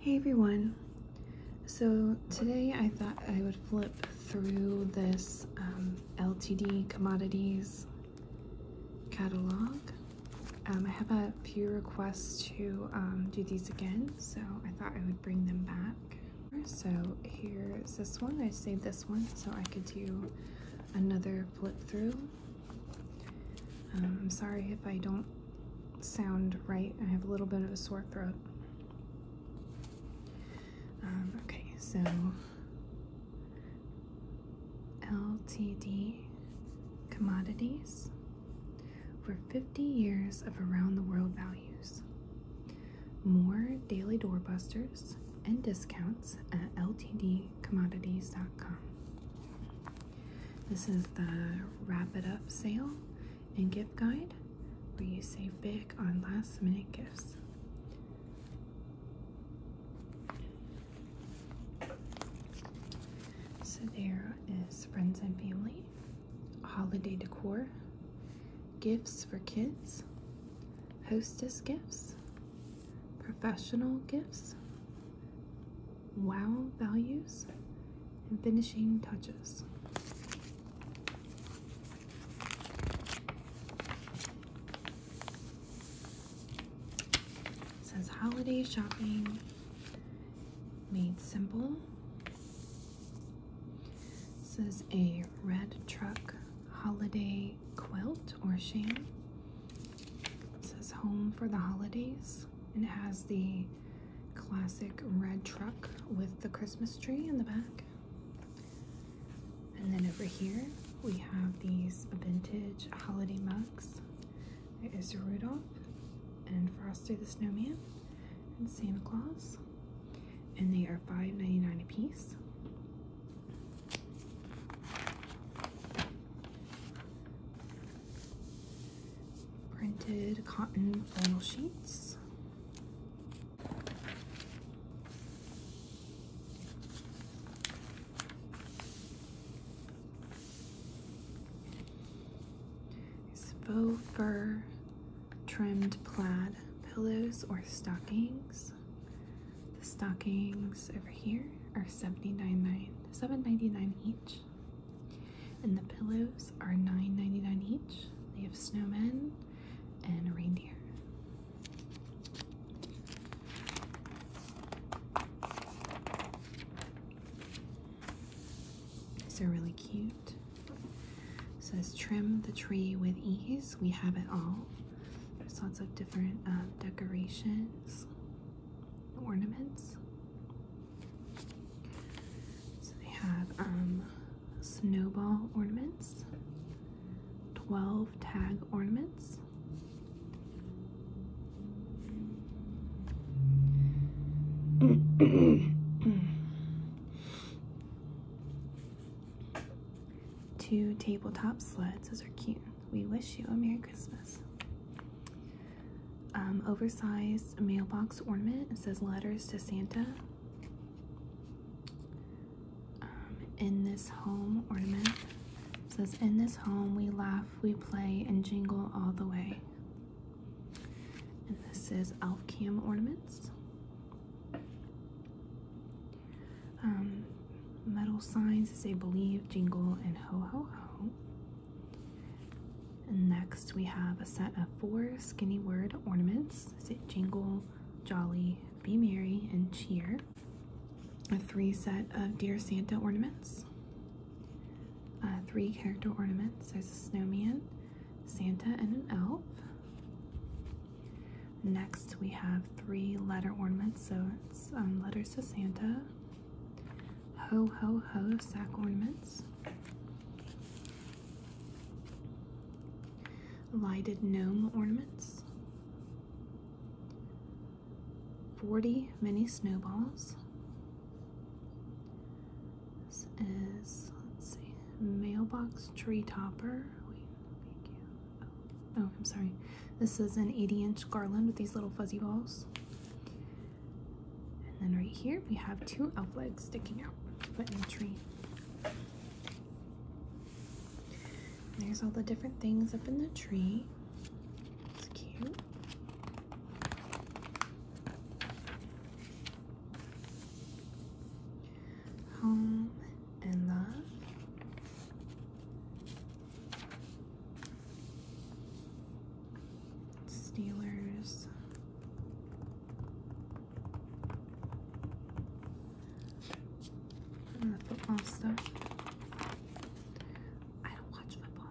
Hey everyone! So today I thought I would flip through this um, LTD commodities catalog. Um, I have a few requests to um, do these again, so I thought I would bring them back. So here's this one. I saved this one so I could do another flip through. I'm um, sorry if I don't sound right. I have a little bit of a sore throat. Um, okay, so LTD commodities for 50 years of around the world values. More daily doorbusters and discounts at ltdcommodities.com. This is the Wrap It Up sale and gift guide where you save big on last minute gifts. So there is friends and family, holiday decor, gifts for kids, hostess gifts, professional gifts, wow values, and finishing touches. It says holiday shopping made simple. This is a red truck holiday quilt or sham. It says home for the holidays and it has the classic red truck with the Christmas tree in the back. And then over here we have these vintage holiday mugs. It is Rudolph and Frosty the Snowman and Santa Claus. And they are $5.99 a piece printed cotton flannel sheets. These faux fur trimmed plaid pillows or stockings the stockings over here are 79 each. And the pillows are nine ninety nine each. They have snowmen and reindeer. they are really cute. It says trim the tree with ease. We have it all. There's lots of different um, decorations ornaments. So they have um, snowball ornaments, 12 tag ornaments, two tabletop sleds, those are cute we wish you a Merry Christmas. Um, oversized mailbox ornament. It says letters to Santa. Um, in this home ornament. says, in this home we laugh, we play, and jingle all the way. And this is elf cam ornaments. Um, metal signs say Believe, Jingle, and Ho Ho Ho. And next, we have a set of four skinny word ornaments say Jingle, Jolly, Be Merry, and Cheer. A three set of Dear Santa ornaments. Uh, three character ornaments. There's a snowman, Santa, and an elf. Next, we have three letter ornaments, so um, letters to Santa, ho ho ho sack ornaments, lighted gnome ornaments, 40 mini snowballs. This is, let's see, mailbox tree topper. Wait, Oh, I'm sorry. This is an 80 inch garland with these little fuzzy balls. And then right here we have two elf legs sticking out, put in the tree. There's all the different things up in the tree. It's cute. Home and love. Steelers. football stuff. I don't watch football.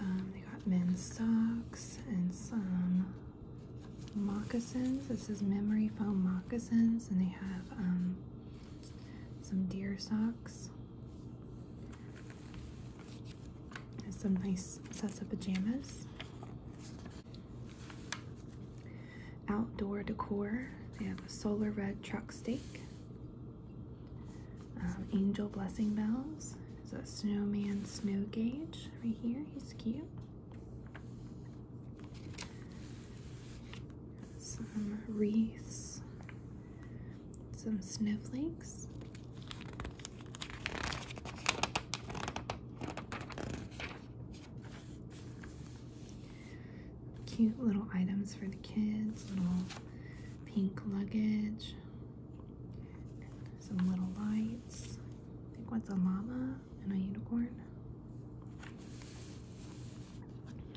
Um, they got men's socks and some moccasins. This is memory foam moccasins, and they have um, some deer socks, and some nice sets of pajamas. Outdoor decor, they have a solar red truck stake, um, angel blessing bells, there's a snowman snow gauge right here, he's cute some wreaths, some snowflakes. Cute little items for the kids, little pink luggage, some little lights. I think what's a llama? and a unicorn.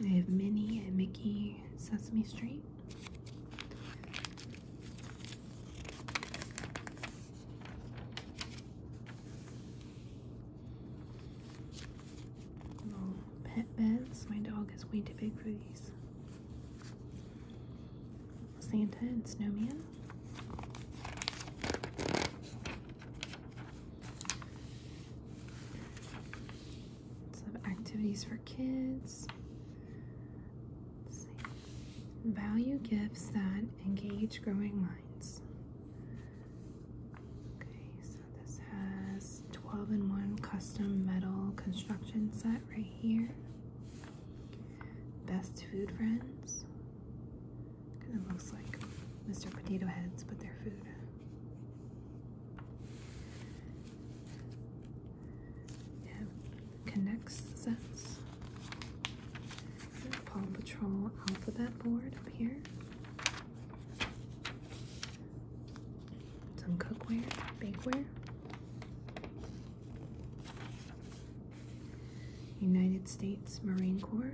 I have Minnie and Mickey Sesame Street. Little pet beds. My dog is way too big for these. Santa and Snowman. Some activities for kids. Value gifts that engage growing minds. Okay, so this has 12 in 1 custom metal construction set right here. Best food friends. Kind of looks like Mr. Potato Heads, but they're food. You Connects sets. Paw Patrol alphabet board up here. Some cookware, bakeware. United States Marine Corps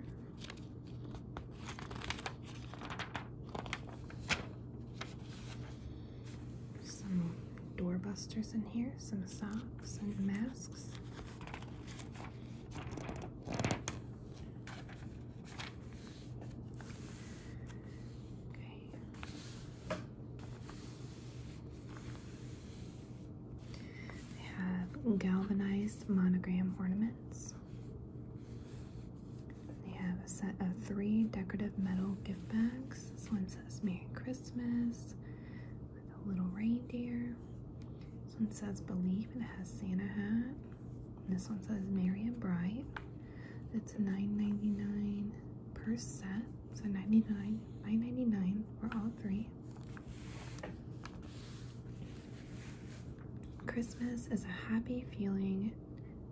some doorbusters in here, some socks and masks. Okay. They have galvanized monogram ornaments. They have a set of three decorative metal gift bags. This one says Merry Christmas with a little reindeer. This one says Believe and it has Santa hat. this one says Merry and Bright. It's $9.99 per set. So 99 9.99 for all three. Christmas is a happy feeling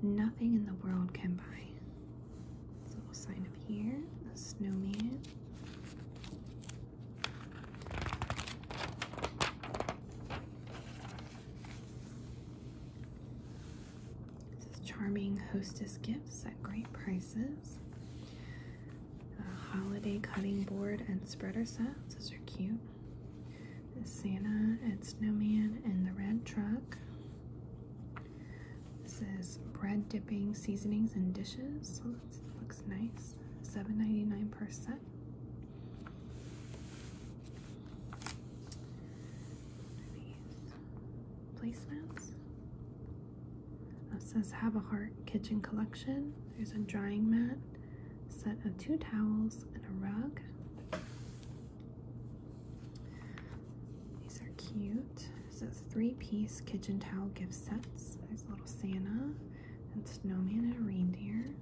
nothing in the world can buy. This little sign up here, a snowman. charming hostess gifts at great prices holiday cutting board and spreader sets. Those are cute. The Santa and Snowman and the Red Truck. This is bread dipping seasonings and dishes. So looks nice. Seven ninety nine dollars per set. These placemats. It says Have a Heart Kitchen Collection. There's a drying mat, set of two towels, and a rug. These are cute. This is three-piece kitchen towel gift sets. There's a little Santa and snowman and a reindeer.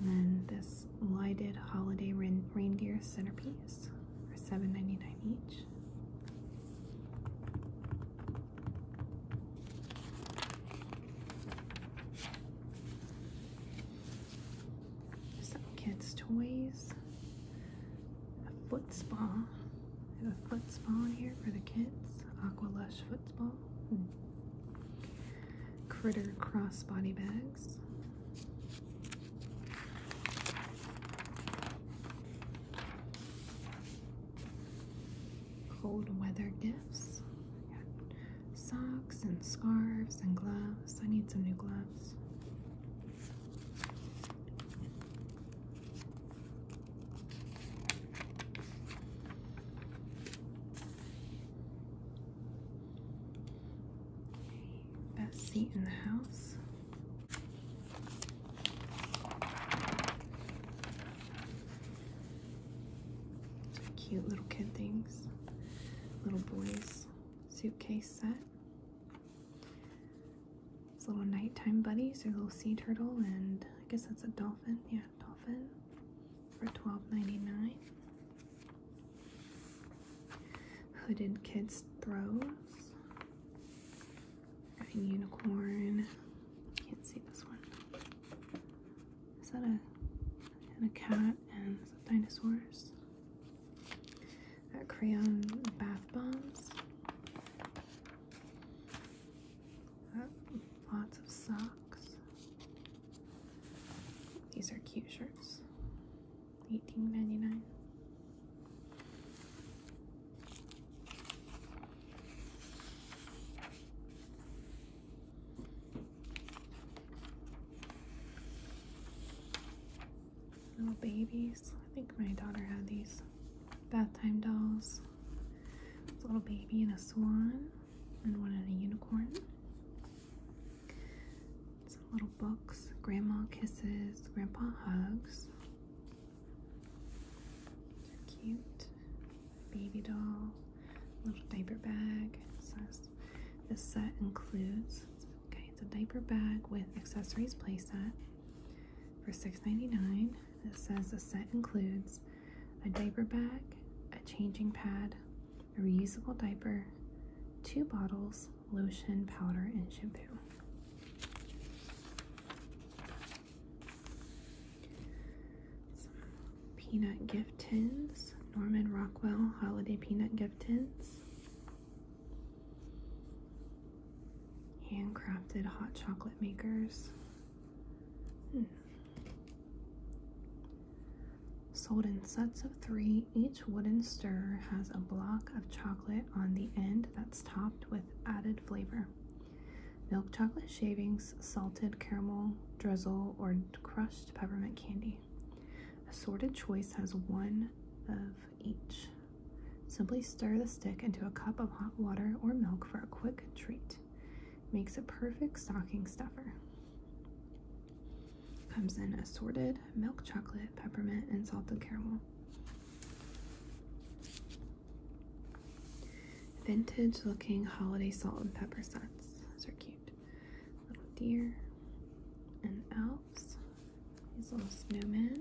And then this lighted holiday reindeer centerpiece for $7.99 each. Some kids' toys. A foot spa. There's a foot spa in here for the kids. Aqua Lush foot spa. Hmm. Critter crossbody bags cold weather gifts. got socks and scarves and gloves. I need some new gloves. Best seat in the house. Cute little kid things. Little boys suitcase set. It's little nighttime buddies, or little sea turtle, and I guess that's a dolphin. Yeah, dolphin for $12.99. Hooded kids throws a unicorn. Can't see this one. Is that a a cat and some dinosaurs? Uh, crayon bath bombs. lots of socks. These are cute shirts. Eighteen ninety nine. Little babies. I think my daughter had these bath time dolls. It's a little baby and a swan, and one and a unicorn. Some little books. Grandma kisses, grandpa hugs cute. Baby doll, little diaper bag. Says this set includes okay, it's a diaper bag with accessories playset for $6.99. It says the set includes a diaper bag, a changing pad, a reusable diaper, two bottles, lotion, powder, and shampoo. peanut gift tins, Norman Rockwell holiday peanut gift tins. Handcrafted hot chocolate makers. Hmm. Sold in sets of three, each wooden stirrer has a block of chocolate on the end that's top with added flavor. Milk chocolate shavings, salted caramel drizzle, or crushed peppermint candy. Assorted choice has one of each. Simply stir the stick into a cup of hot water or milk for a quick treat. Makes a perfect stocking stuffer. Comes in assorted milk chocolate, peppermint, and salted caramel. Vintage looking holiday salt and pepper sets. Those are cute. Little deer and elves. These little snowmen.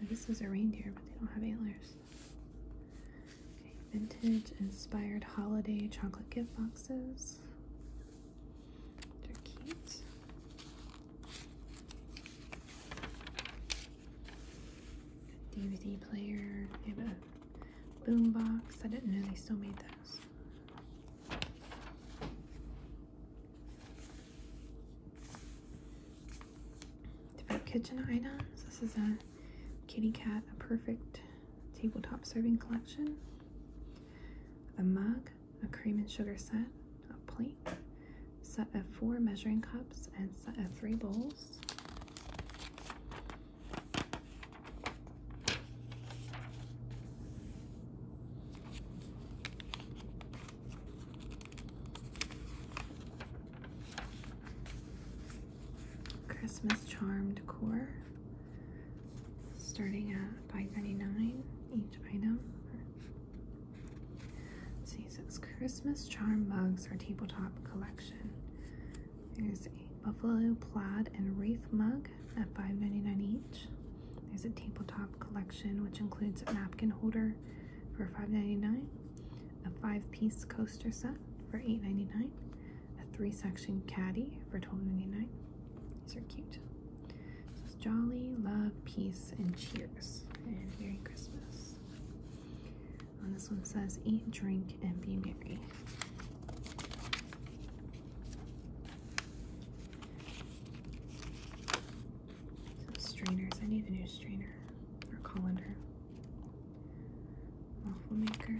I guess those are reindeer, but they don't have antlers. vintage inspired holiday chocolate gift boxes. They're cute. DVD player. They have a boom I didn't know they still made those. Different kitchen items. This is a kitty cat, a perfect tabletop serving collection. The mug a cream and sugar set, a plate, set of four measuring cups, and set of three bowls. Christmas charm decor starting at $5.99 each item Jesus Christmas Charm Mugs or Tabletop Collection. There's a buffalo plaid and wreath mug at five ninety nine each. There's a tabletop collection which includes a napkin holder for five ninety nine, a five-piece coaster set for eight ninety nine, a three-section caddy for twelve ninety nine. These are cute. This is Jolly, Love, Peace, and Cheers. And Merry Christmas. this one says Eat, Drink, and Be Merry. strainers. I need a new strainer or colander. Waffle maker.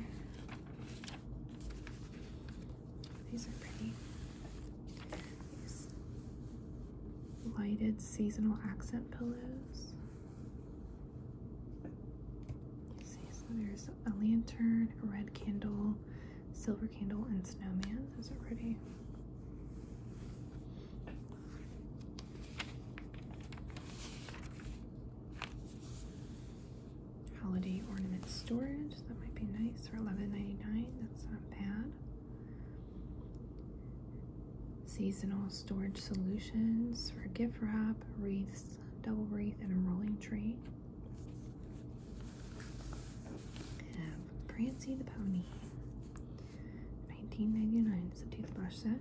These are pretty. lighted seasonal accent pillows. see, so there's a lantern, a red candle, silver candle, and snowman. Those are pretty. Holiday ornament storage. That might be nice for $11.99. That's not bad. Seasonal storage solutions for gift wrap, wreaths, double wreath, and a rolling tree. Have Prancy the Pony. $19.99 is a toothbrush set.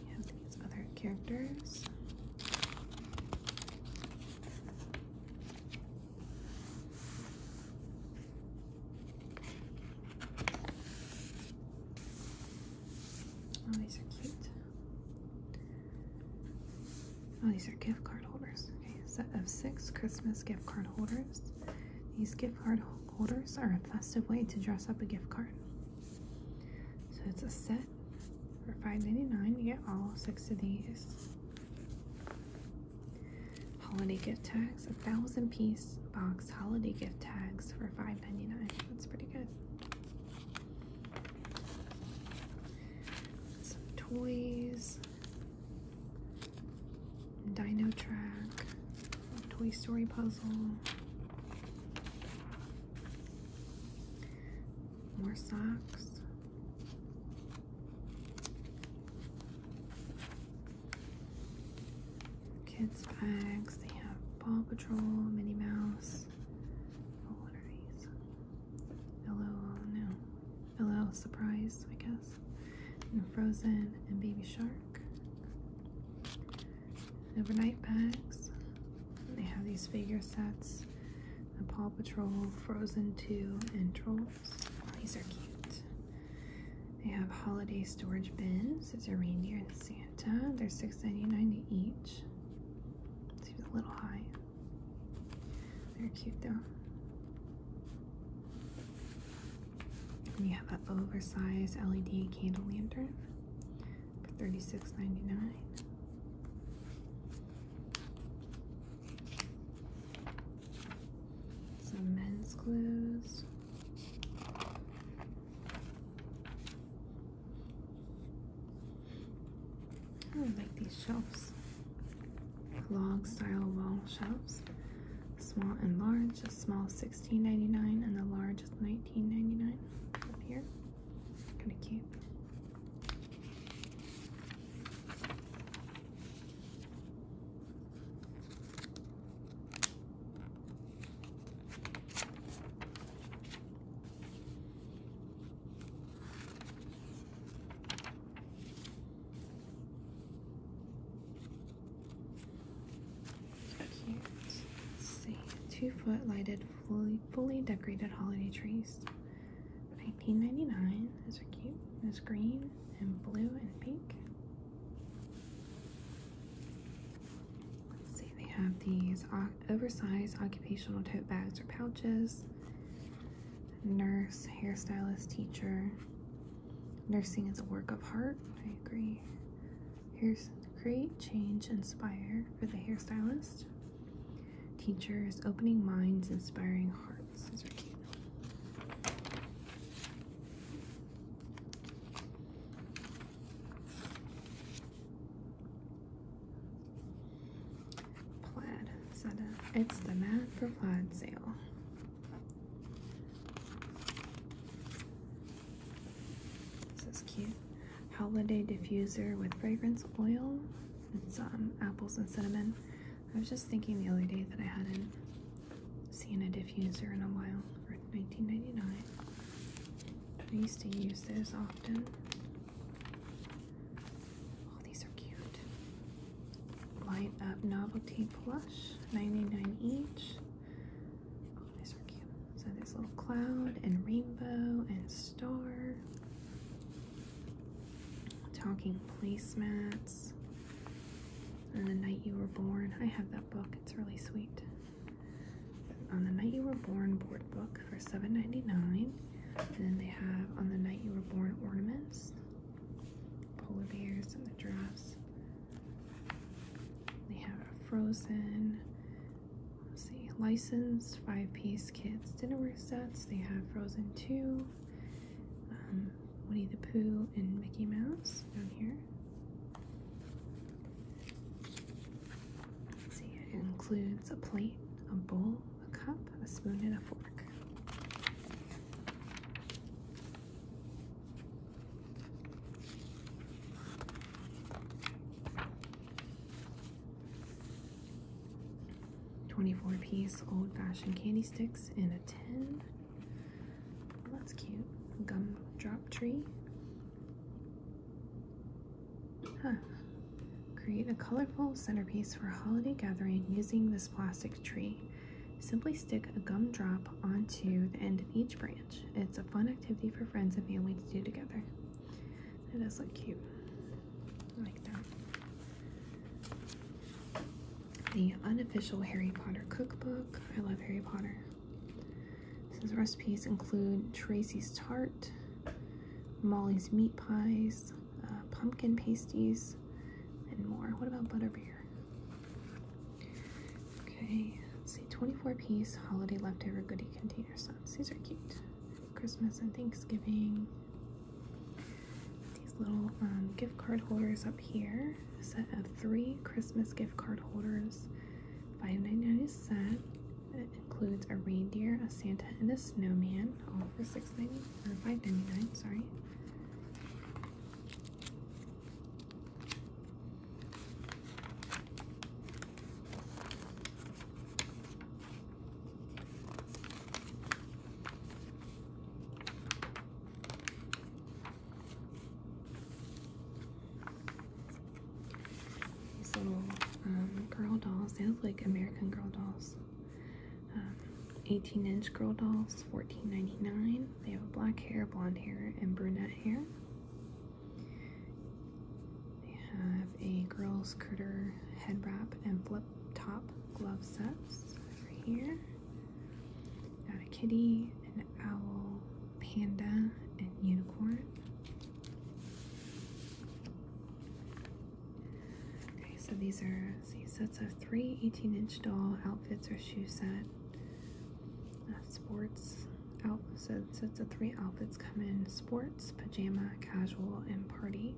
We have these other characters. Oh, these are cute. Oh, these are gift card holders. Okay, set of six Christmas gift card holders. These gift card holders are a festive way to dress up a gift card. So it's a set for $5.99. You get all six of these. Holiday gift tags, a thousand piece box holiday gift tags for $5.99. That's pretty good. Some toys, Dino Track, Toy Story puzzle, more socks, Kids bags. They have Paw Patrol, Minnie Mouse. Oh, what are these? Hello, no. Hello, surprise, I guess. And Frozen and Baby Shark. Overnight bags. They have these figure sets. Princess, the Paw Patrol, Frozen 2, and Trolls. these are cute. They have holiday storage bins. There's a reindeer and Santa. They're $6.99 each. Seems a little high. They're cute though. We have an oversized LED candle lantern for $36.99. Some men's clothes. I really like these shelves. Log style wall shelves. Small and large. The small is 16 and the large is nineteen ninety nine. up here. Kind of cute. Cute. see, two foot lighted, fully fully decorated holiday trees. Nineteen ninety nine. dollars 99 Those are cute. There's green and blue and pink. Let's see, they have these oversized occupational tote bags or pouches. Nurse, hairstylist, teacher. Nursing is a work of art. I agree. Here's create, change, inspire for the hairstylist. Teachers, opening minds, inspiring hearts. Plaid. it's the mat for plaid sale. This is cute. Holiday diffuser with fragrance oil. Some um, apples and cinnamon. I was just thinking the other day that I hadn't seen a diffuser in a while for 19.99. I used to use those often. Oh, these are cute. Light Up Novelty Plush, 99 each. Oh, these are cute. So there's little cloud and rainbow and star. Talking placemats. On the night you were born. I have that book. It's really sweet. On the night you were born board book for $7.99. And then they have on the night you were born ornaments. Polar bears and the giraffes. They have a frozen Let's see, licensed five piece kids dinnerware sets. They have Frozen 2, um, Winnie the Pooh, and Mickey Mouse down here. see, it includes a plate, a bowl, a cup, a spoon, and a fork. 24 piece old fashioned candy sticks in a tin. that's cute. Gum drop tree. Create a colorful centerpiece for a holiday gathering using this plastic tree. Simply stick a gum drop onto the end of each branch. It's a fun activity for friends and family to do together. It does look cute. I like that. The unofficial Harry Potter cookbook. I love Harry Potter. It says recipes include Tracy's tart, Molly's meat pies, uh, pumpkin pasties, and more. What about butterbeer? Okay, let's see. 24 piece holiday leftover goodie container sets. These are cute. Christmas and Thanksgiving. These little um, gift card holders up here. A set of three Christmas gift card holders. $5.99 set. It includes a reindeer, a Santa, and a snowman, all for six ninety or five ninety nine. Sorry. These little um, girl dolls, they look like American Girl dolls. Um, 18 inch girl dolls, $14.99. They have black hair, blonde hair, and brunette hair. They have a girls critter head wrap and flip top glove sets over here. Got a kitty, an owl, panda, and unicorn. Okay, so these are see, sets of three 18 inch doll outfits or shoe set. Uh, sports outfit oh, so it's a three outfits come in sports, pajama, casual, and party.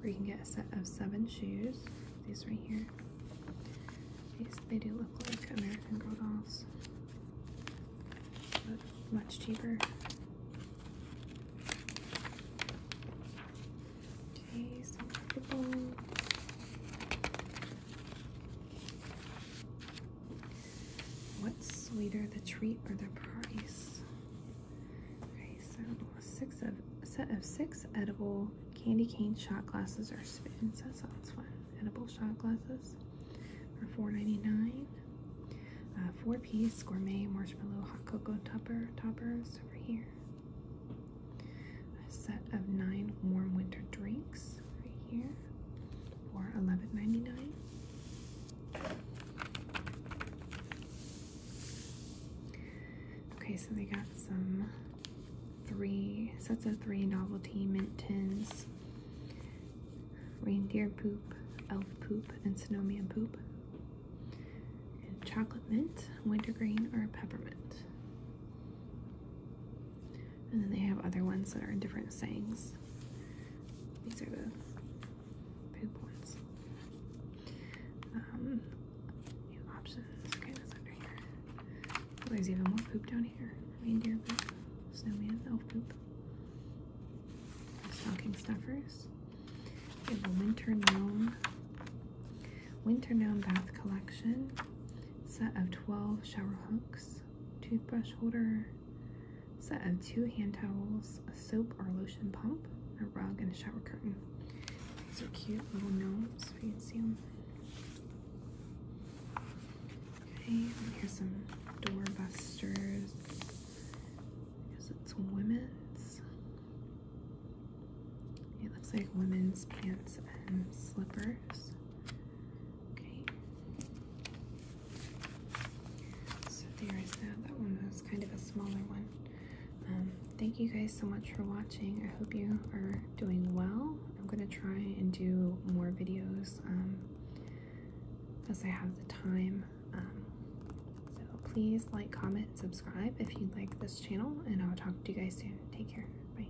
Where you can get a set of seven shoes. These right here. These they do look like American Girl dolls, but much cheaper. Okay, so What's sweeter, the treat or the price? Okay, so six of a set of six edible candy cane shot glasses or spoons. That sounds fun. Edible shot glasses for $4.99. Uh, Four-piece gourmet marshmallow hot cocoa topper toppers over here. A set of nine warm winter drinks right here for $11.99. Okay, so they got some three sets of three novelty mint tins, reindeer poop, elf poop, and snowman poop, and chocolate mint, wintergreen, or peppermint. And then they have other ones that are different sayings. These are the poop ones. Um, options. Okay, that's under here. Oh, there's even more poop down here. Reindeer poop, snowman, elf poop. Stocking stuffers. We have a winter gnome. Winter gnome bath collection. Set of 12 shower hooks. Toothbrush holder set of two hand towels, a soap or lotion pump, a rug, and a shower curtain. These are cute little gnomes if you can see them. Okay, here's some doorbusters. Because it's women's. It looks like women's pants and slippers. Okay. So there is that. That one was kind of a smaller one. Um, thank you guys so much for watching. I hope you are doing well. I'm going to try and do more videos um, as I have the time. Um, so please like, comment, subscribe if you like this channel, and I'll talk to you guys soon. Take care. Bye.